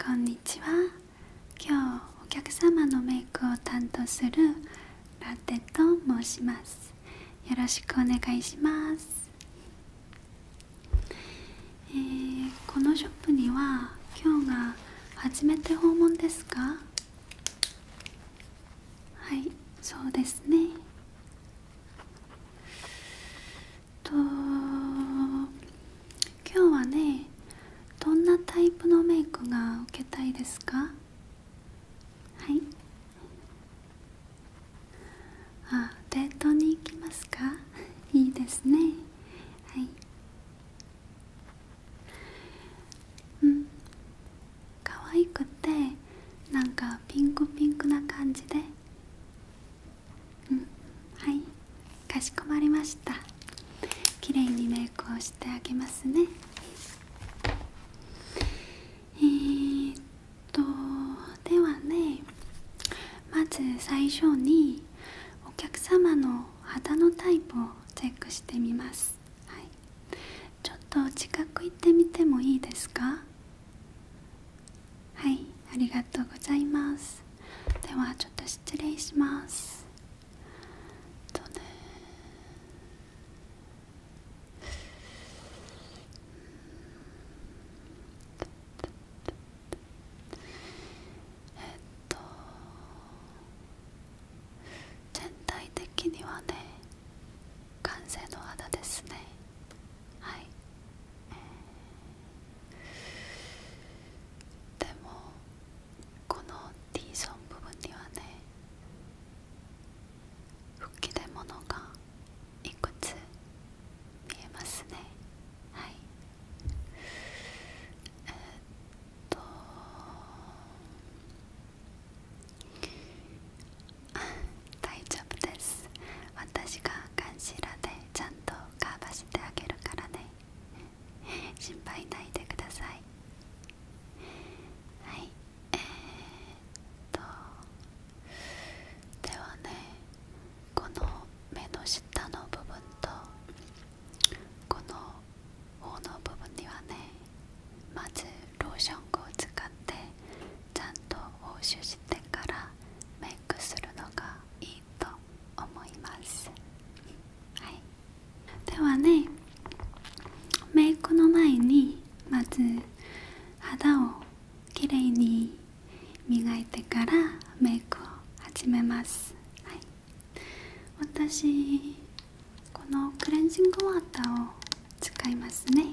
こんにちは今日お客様のメイクを担当するラテと申しますよろしくお願いします、えこのショップには今日が初めて訪問ですかはいそうですねと今日はねどんなタイプのメイクが受けたいですかはいあデートに行きますか いいですねはいうん可愛くてなんかピンクピンクな感じでうんはいかしこまりましたきれいにメイクをしてあげますねえっとではねまず最初にお客様の肌のタイプをチェックしてみます、はい、ちょっと近く行ってみてもいいですかはいありがとうございますではちょっと失礼しますえっとねえっと全体的にはね完成の肌ですねはい、えでもこの D ゾーン部分にはね吹き出物がいくつ見えますねはいえー、っと 大丈夫です私がガンシーラでちゃんとカーバしてあげるからね心配ないでくださいはいえー、とではねこの目の下の部分とこの頬の部分にはねまずローションを使ってちゃんと押収してからメイクするのがいいと思います、はい、ではねメイクの前にまず肌をきれいに磨いてからメイクを始めます、はい、私このクレンジングウォーターを使いますね、はい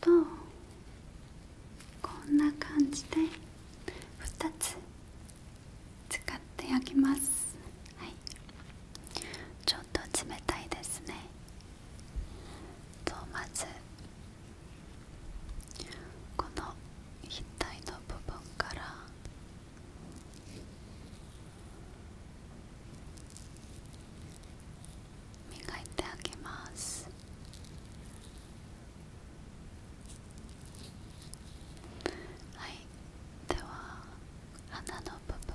とこんな感じで2つ使って焼きますはいちょっと冷たいですねとまずこの額の部分から磨いてあげますはいでは穴の部分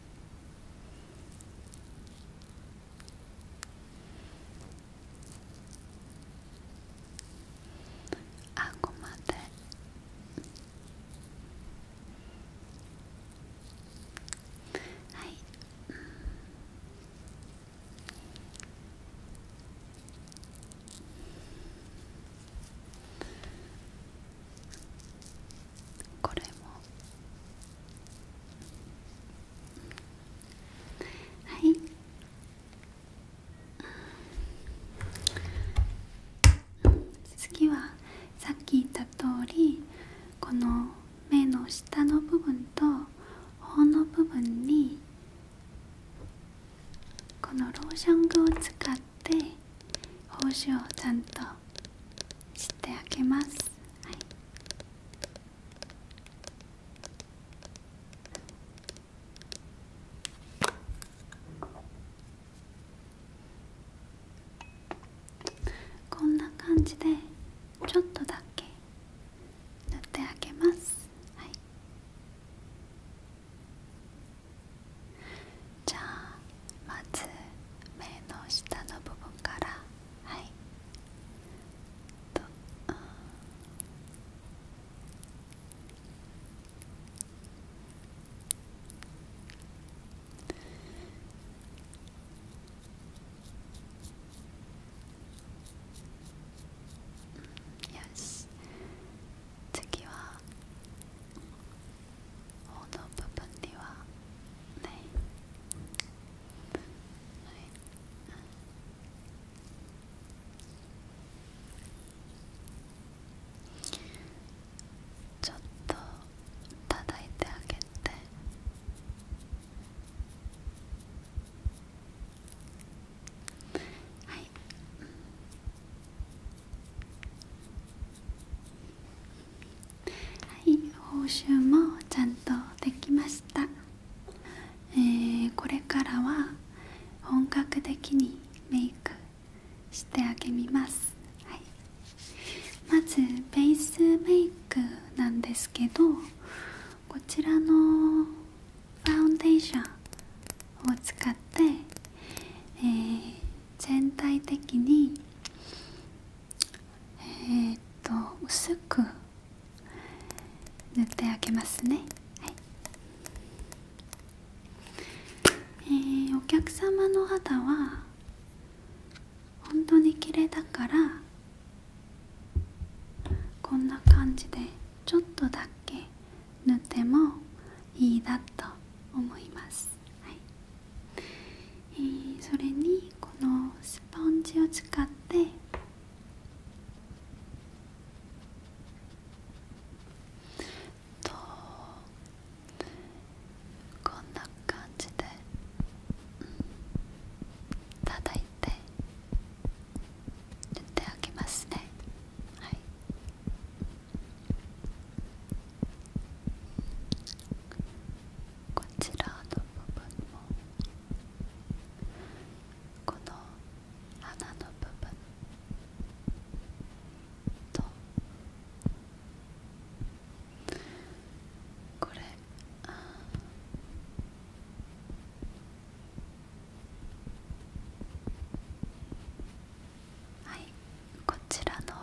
あごまではい、うん、これもはい次はさっき言った通りこの目の下の部分と頬の部分にこのローションを使って胞子をちゃんとしてあげます、はい、こんな感じでちょっとだけ塗ってあげます、はい、じゃあまず目の下の部分からはいと、うん、よし次は頬の部分にはねちょっと叩いてあげてはい、うん、はい報酬もちゃんとできました、えこれからは本格的にメイクしてあげます、はい、まずベースメイクなんですけどこちらのファウンデーションを使って、え全体的にえっ、と薄く塗ってあげますね、はえお客様の肌は本当に綺麗だからこんな感じでちょっとだけ塗ってもいいなと思います、えー、それにこのスポンジを使ってとこんな感じで、うん、叩いて塗ってあげますねはいこちらの部分もこの鼻の部分とこれあはいこちらの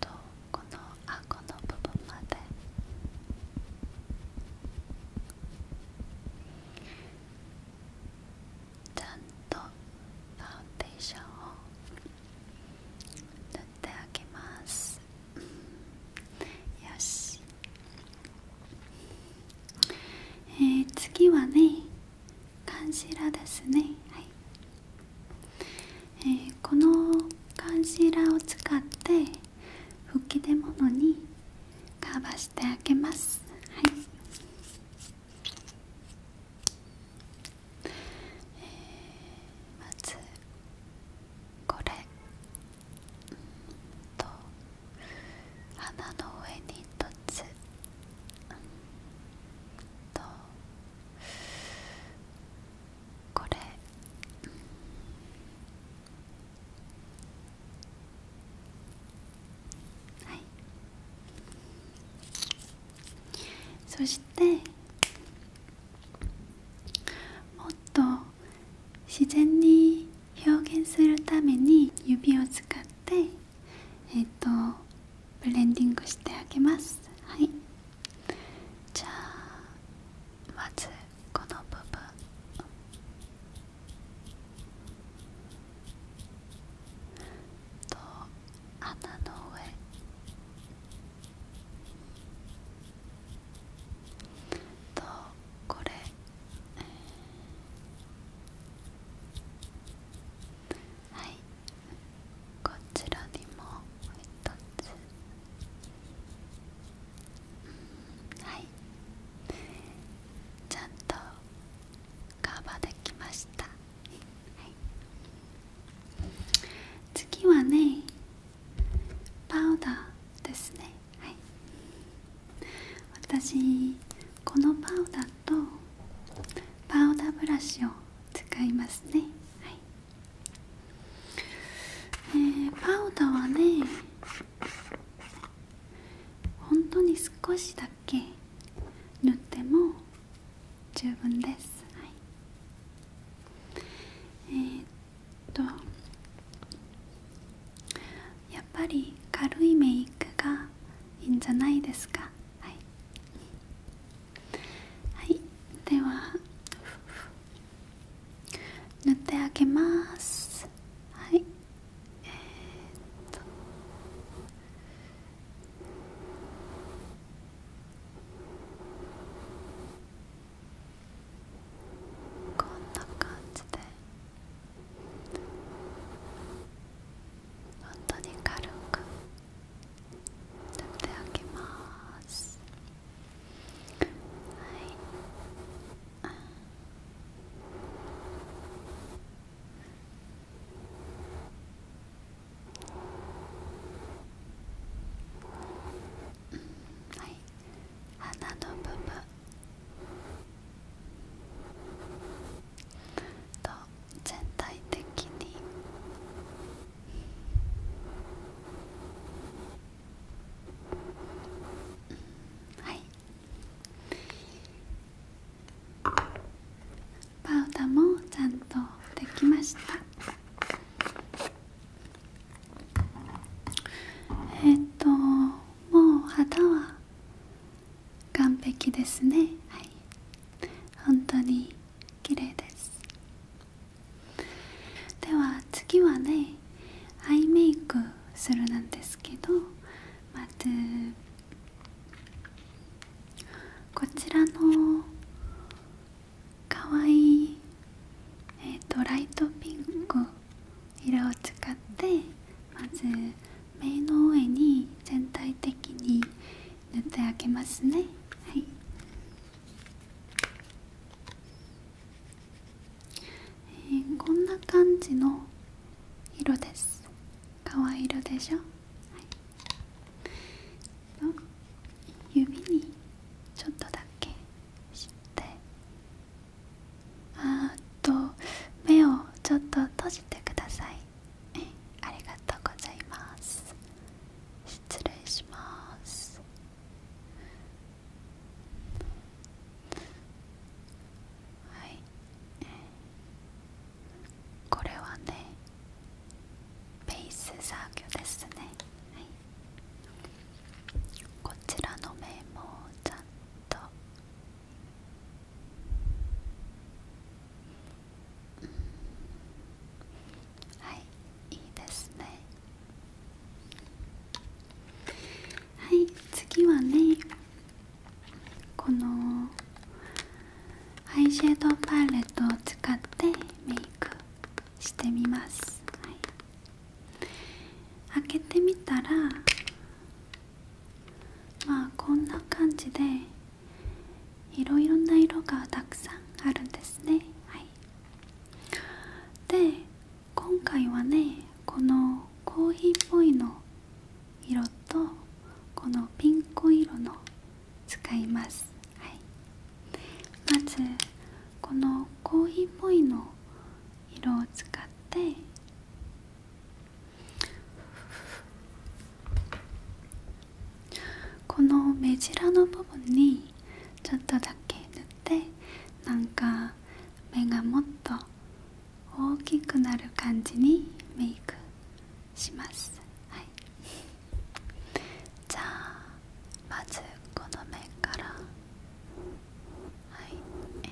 とこの顎の部分までちゃんとファウンデーションを塗ってあげます、よしえー、次はねカンしラですねはい、えー、このカンしラを使って吹き出物にカバしてあげますはい、えー、まずこれと穴の上に一つとこれはいそしてもっと自然に表現するために指を使ってえっ、とブレンディングしてあげますはいじゃあまずこの部分と穴の上とこれはいこちらにも一つ、はいちゃんとカバーできました、次はねパウダーですね私このパウダーとパウダーブラシを使いますねはいえー、パウダーはね本当に少しだけ塗っても十分です、はい、えっとやっぱり軽いメイクがいいんじゃないですかはいはいでは塗ってあげますはいえっとこんな感じで本当に軽く。取っておきますはいうんはい鼻の部分と全体的にはいパウダーもちゃんとできましたえっ、ともう肌は完璧ですねはい本当に綺麗ですでは次はねアイメイクするなんですけどまずこちらのかわいい、えー、ライトピンク色を使ってまず目の上に全体的に塗ってあげますねはいえこんな感じの色です可愛い色でしょ、はい、指にちょっとだけしてあと目をちょっと閉じてください、ありがとうございます失礼しますはいえこれはねペース作業ですね、はい、こちらの面もちゃんとうんはいいいですねはい次はねこのアイシェードパレットを使ってメイクしてみます、開けてみたらまあこんな感じでいろな色がたくさんあるんですねはいで今回はねこのコーヒーっぽいの色とこのピンク色の使います、はい、まずこのコーヒーっぽいの色を使ってこの目白の部分にちょっとだけ塗ってなんか目がもっと大きくなる感じにメイクしますはいじゃあまずこの目からはい、え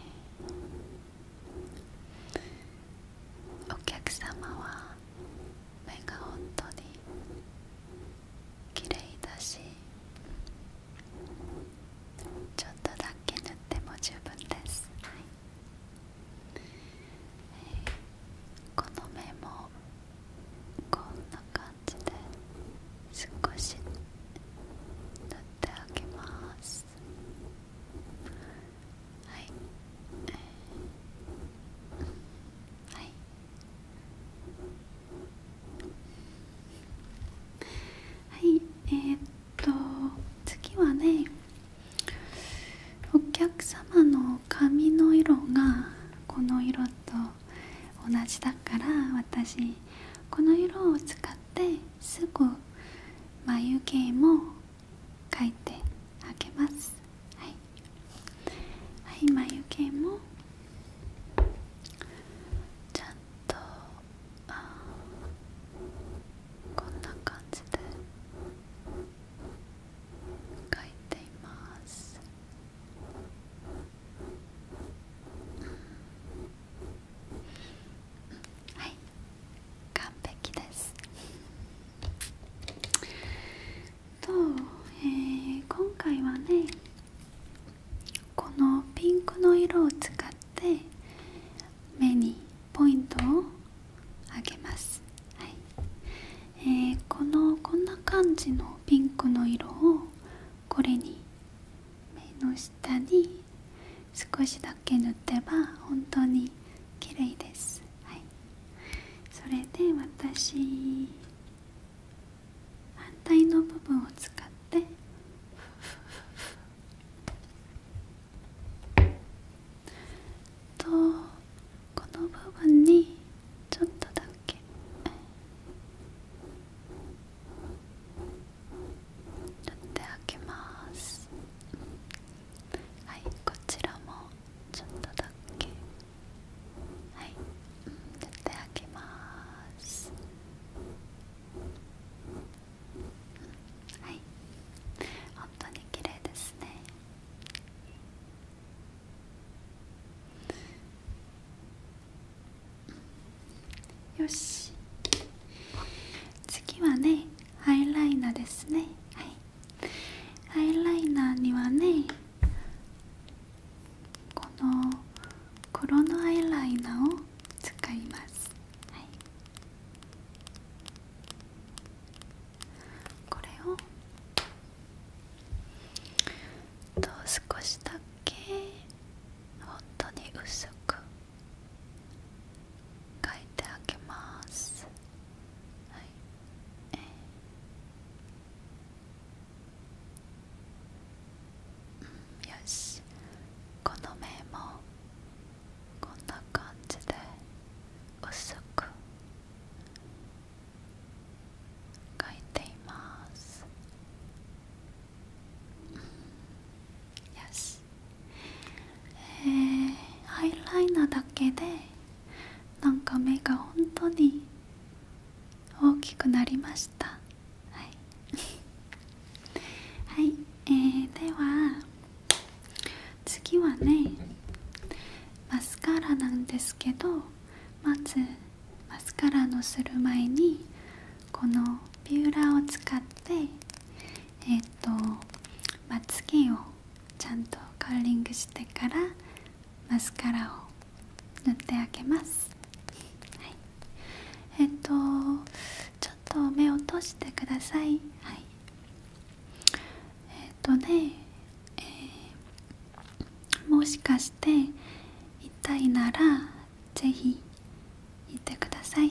ー、お客様は目が本当に綺麗だしちょっとだけ塗っても十分です、はいこの目もこんな感じで少し塗ってあげますはい、はいはいえっと次はねお客様の髪の色がこの色と同じだから私この色を使ってすぐ眉毛も描いてあげますはいはい眉毛もちゃんとあこんな感じで描いていますはい完璧ですと、え今回はねこのピンクの色を使って目にポイントをあげます、はいえー、このこんな感じのピンクの色をこれに目の下に少しだけ塗ってば本当に綺麗です、はい、それで私反対の部分を使ってとこの部分にちょっとだけ塗ってあげますはいこちらもちょっとだけ。はい、うん、絶対開けます、はい、本当に綺麗ですねよし次はねハイライナーですねはいハイライナーにはねこの黒のアイライナーを使います、これをと少しだけ本当に薄く描いてあげますはい、えーよしこの目もこんな感じで薄く描いていますよしえー、アイライナーだけでなんか目が本当に大きくなりました はい、えー、では次はねマスカラなんですけどまずマスカラのする前にこのビューラーを使ってえっ、とまつ毛をちゃんとカーリングしてからマスカラを塗ってあげます、えっとちょっと目を閉じてくださいえっとね、もしかして痛いならぜひ言ってください、えっ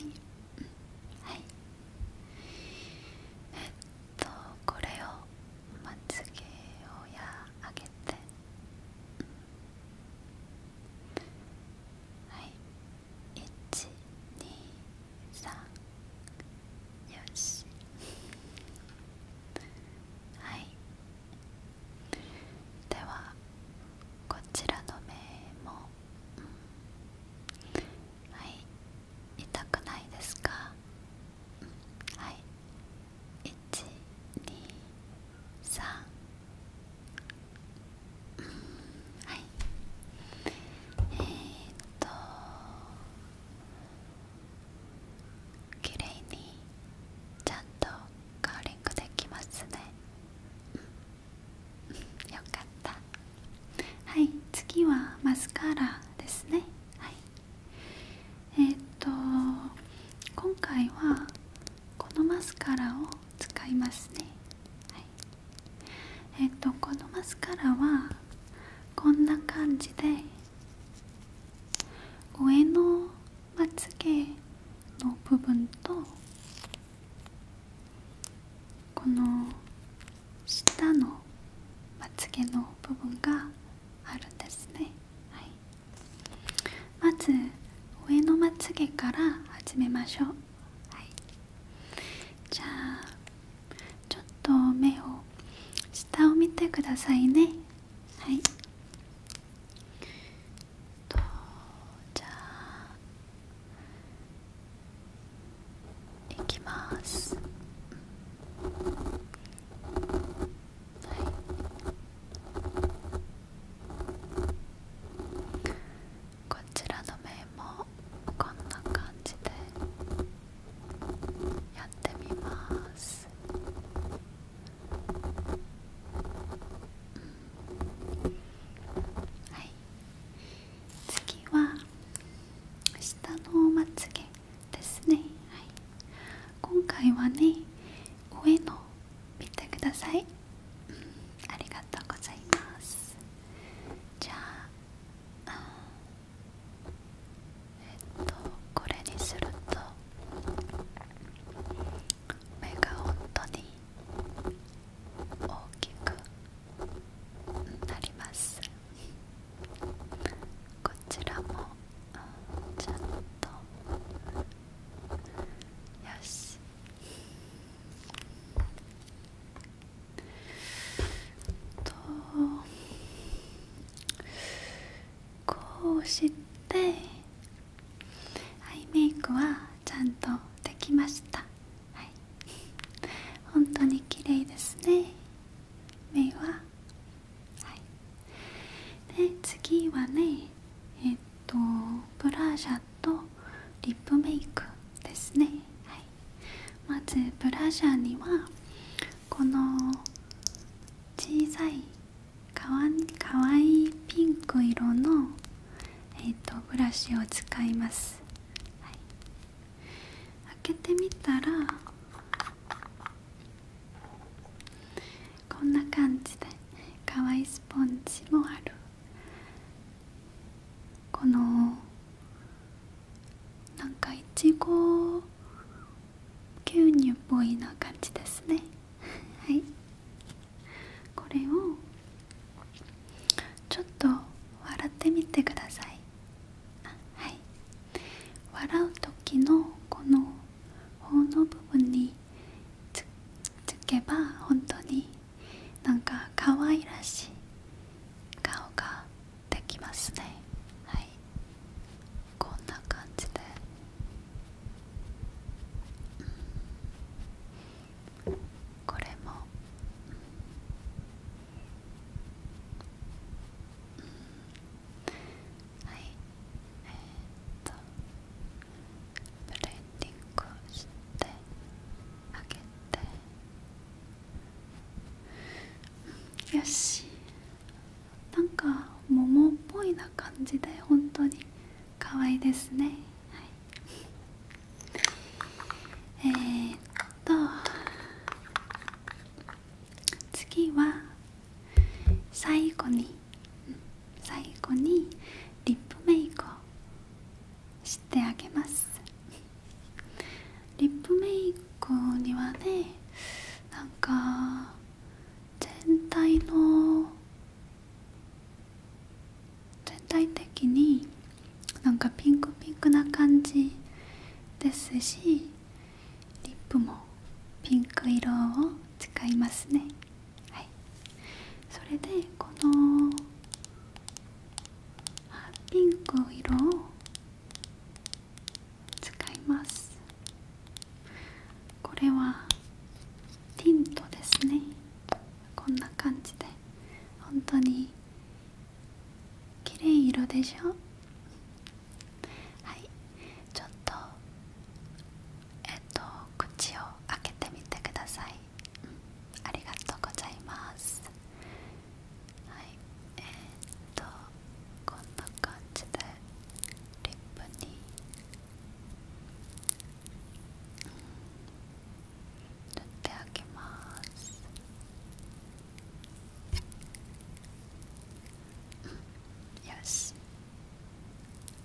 とこれをまつげをやあげてはい123よしはいではこちらの目も、はい痛くないですか、はい123さあうんはいえー、っと綺麗にちゃんとカーリングできますね、うん、よかったはい次はマスカラですねはいえっ、と今回はこのマスカラを使いますね、えっ、とこのマスカラはこんな感じで上のまつげの部分とこの下のまつげの部分があるんですね。はいまず上のまつげから始めましょう、はい、じゃあちょっと目を下を見てくださいねはいとじゃあいきます。こちらの面もこんな感じでやってみます、はい次は下のまつげですね、はい、今回はね上の見てください、ありがとうございますじゃあ、えっとこれにすると目が本当に大きくなりますこちらもちょっとよしとこうしてアイメイクはちゃんとできましたはい本当に綺麗ですね目ははいで次はねえっとブラーシャとリップメイクですね、まずブラジャーにはこの小さいかわいかわいピンク色の、えっとブラシを使います、開けてみたらこんな感じでかわいいスポンジもあるこのなんかいちご牛乳っぽいな感じですねはいこれをちょっと笑ってみてくださいはい笑う時のこの頬の部分につつけば本当になんか可愛らしい顔ができますねはいこんな感じで、うん、これも、うん、はいえっとブレンディングをしてあげてよしなんか桃っぽいな感じで本当に可愛いですねえっと次は最後に、うん、最後にリップメイクをしてあげますリップメイクにはねなんか全体の全体的になんかピンクピンクな感じですしリップもピンク色を使いますね。はいそれでこのピンク色を使いますこれはティントですねこんな感じで本当に綺麗色でしょはいちょっとえっと口を開けてみてください、ありがとうございますはいえっとこんな感じでリップに、塗ってあげます、よし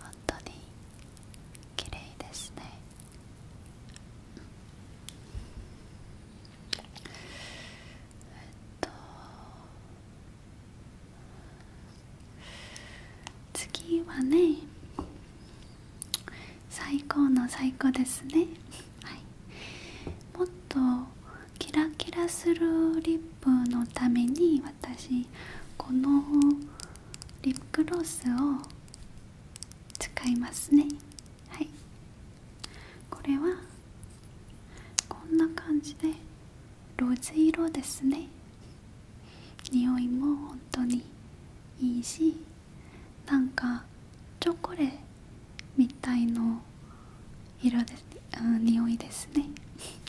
本当に綺麗ですね、えっと次はね最高の最高ですね、はい、もっとキラキラするリップのために私このリップロースを使いますねはいこれはこんな感じでローズ色ですね匂いも本当にいいしなんかチョコレートみたいの色で、うん、匂いですね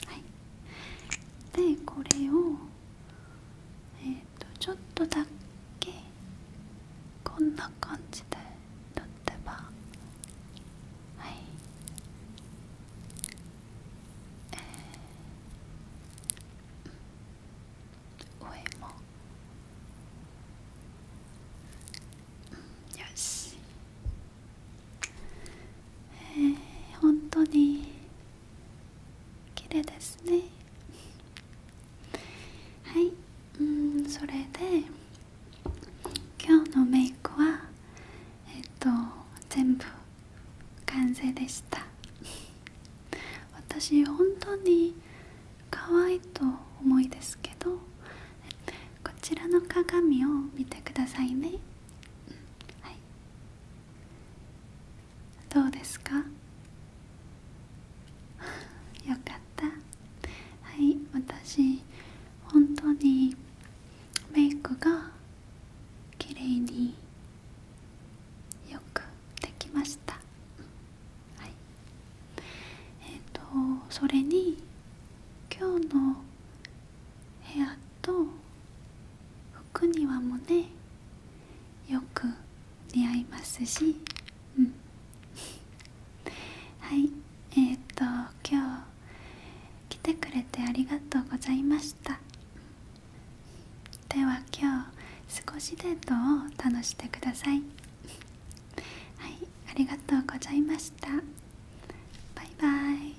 はいでこれをえっ、とちょっとだけこんな感じで塗ってばはいええ。上も、うん、よしえー、本当に綺麗ですねはいうんそれで今日のメイクはえっと全部完成でした私本当に可愛いと思いですけどこちらの鏡を見てくださいね、はい、どうですかよかったはい私本当にメイクが綺麗によくできましたはいえっ、とそれに今日の部屋とく庭もねよく似合いますしうん はいえっ、と今日来てくれてありがとうございましたでは今日少しデートを楽してくださいはいありがとうございましたバイバイ